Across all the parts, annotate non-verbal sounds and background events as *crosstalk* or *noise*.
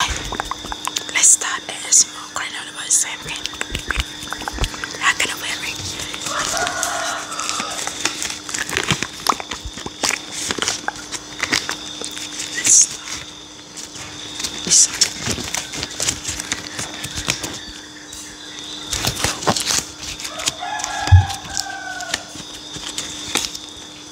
Let's start the smoke right now. about the same thing. Not gonna wear it. let This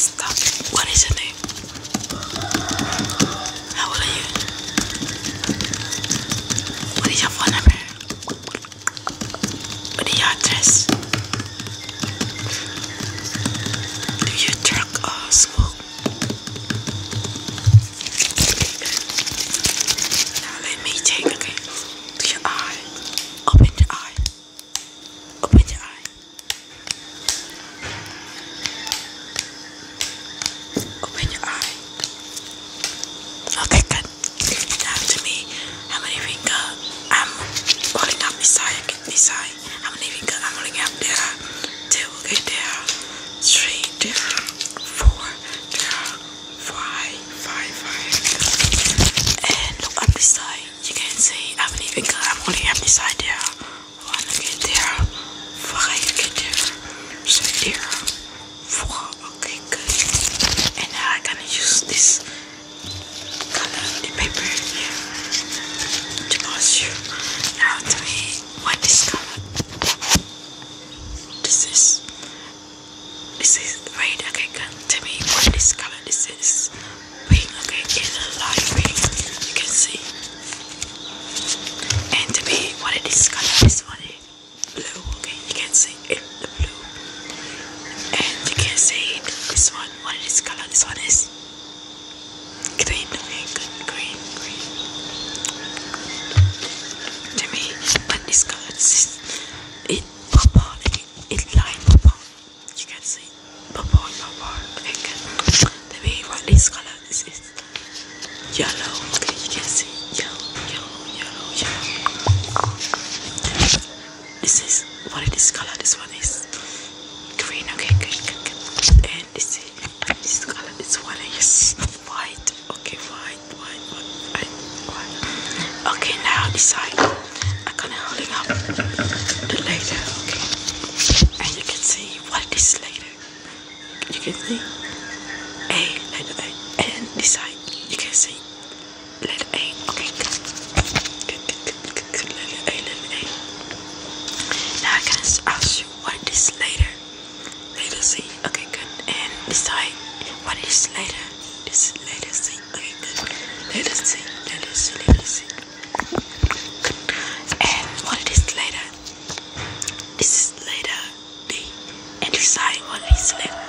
Stop. What is your name? How old are you? What is your phone number? What is your address? Do you drink or Now let me take again. Do Open the eye. Open the eye. Open your eye. Okay, good. Talk to me. How many finger I'm holding up this side, this side. How many finger I'm holding up there? Two, okay, there. Three, there. Four, there. Five, five, five. And look up this side. You can see how many finger I'm holding up this side there. One, okay, there. Five, okay, there. Three, there. Four. Okay, good. And now I'm gonna use this color the paper here to pass you. Now tell me what this color this is. This is red. Okay, good. Tell me what this color this is. Pink. Okay, it's a light pink. You can see. And to me, what it is color is what it is blue. Okay, you can see it, the blue, and you can see it, this one. What is color? This one is green. Okay, good, green, green. To me, but this color is it purple. It, it light purple. You can see purple, purple. Okay, good. To me, what this color? This is yellow. Okay, you can see yellow, yellow, yellow, yellow. This is what is this color. This one is green. Okay, good, good, good. And this color. This one is white. Okay, white, white, white, white. Okay, now this I'm gonna hold it up the *laughs* later. Okay, and you can see what it is later you can see. A A and this side you can see. Let A okay good A letter A now I can ask you what is later later see. okay good and this side what is later this is later see. okay see. letter C letter C letter C and what is later this is letter day and decide what is later.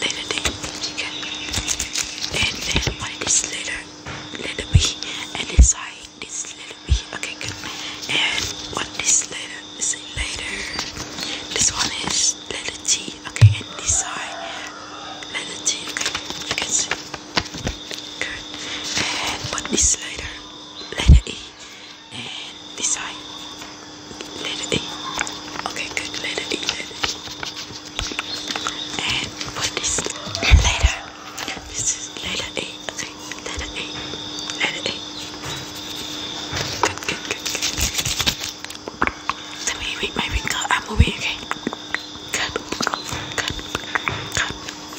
Later day chicken. And then what is later later week and decide this later week. Okay good. And what is later is later. This one is letter T. Okay and decide letter T. Okay you can see. Good. And put this letter, letter E, and this side, letter E. Okay, good. Letter E, letter E. And put this letter. This is letter E. Okay, letter E, letter E. Good, good, good, good. Let me read my wrinkle. I'm moving. Okay. Good, good, good, good.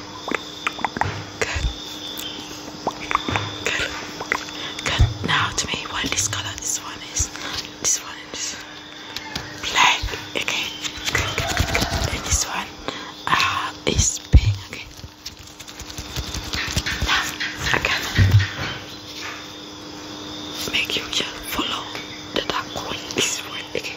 Good. Good. Good. Now to me what this color this one is. This one is black. Okay. Good, And this one uh, is pink. Okay. Now I make you just follow the dark one. This one. Okay.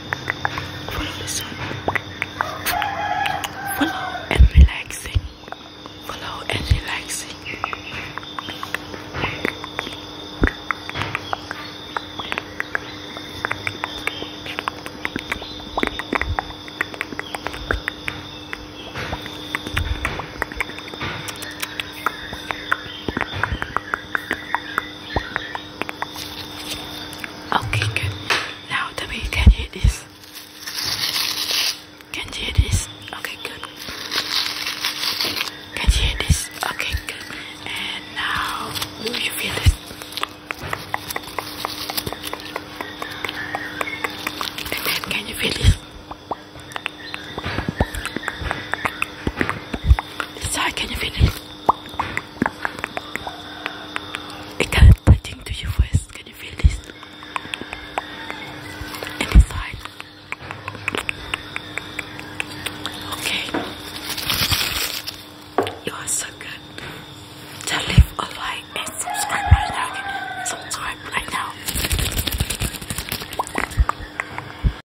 Follow the sun. Follow and relaxing. Follow and relaxing. Okay, good. Now that we can hear this. Can you hear this? Okay, good. Can you hear this? Okay, good. And now, do you feel this? And then, can you feel this? This side, can you feel this? It kind of touching to your face. Can you feel this? Inside. Okay. You are so good. Just leave a like and subscribe right now. Subscribe right now.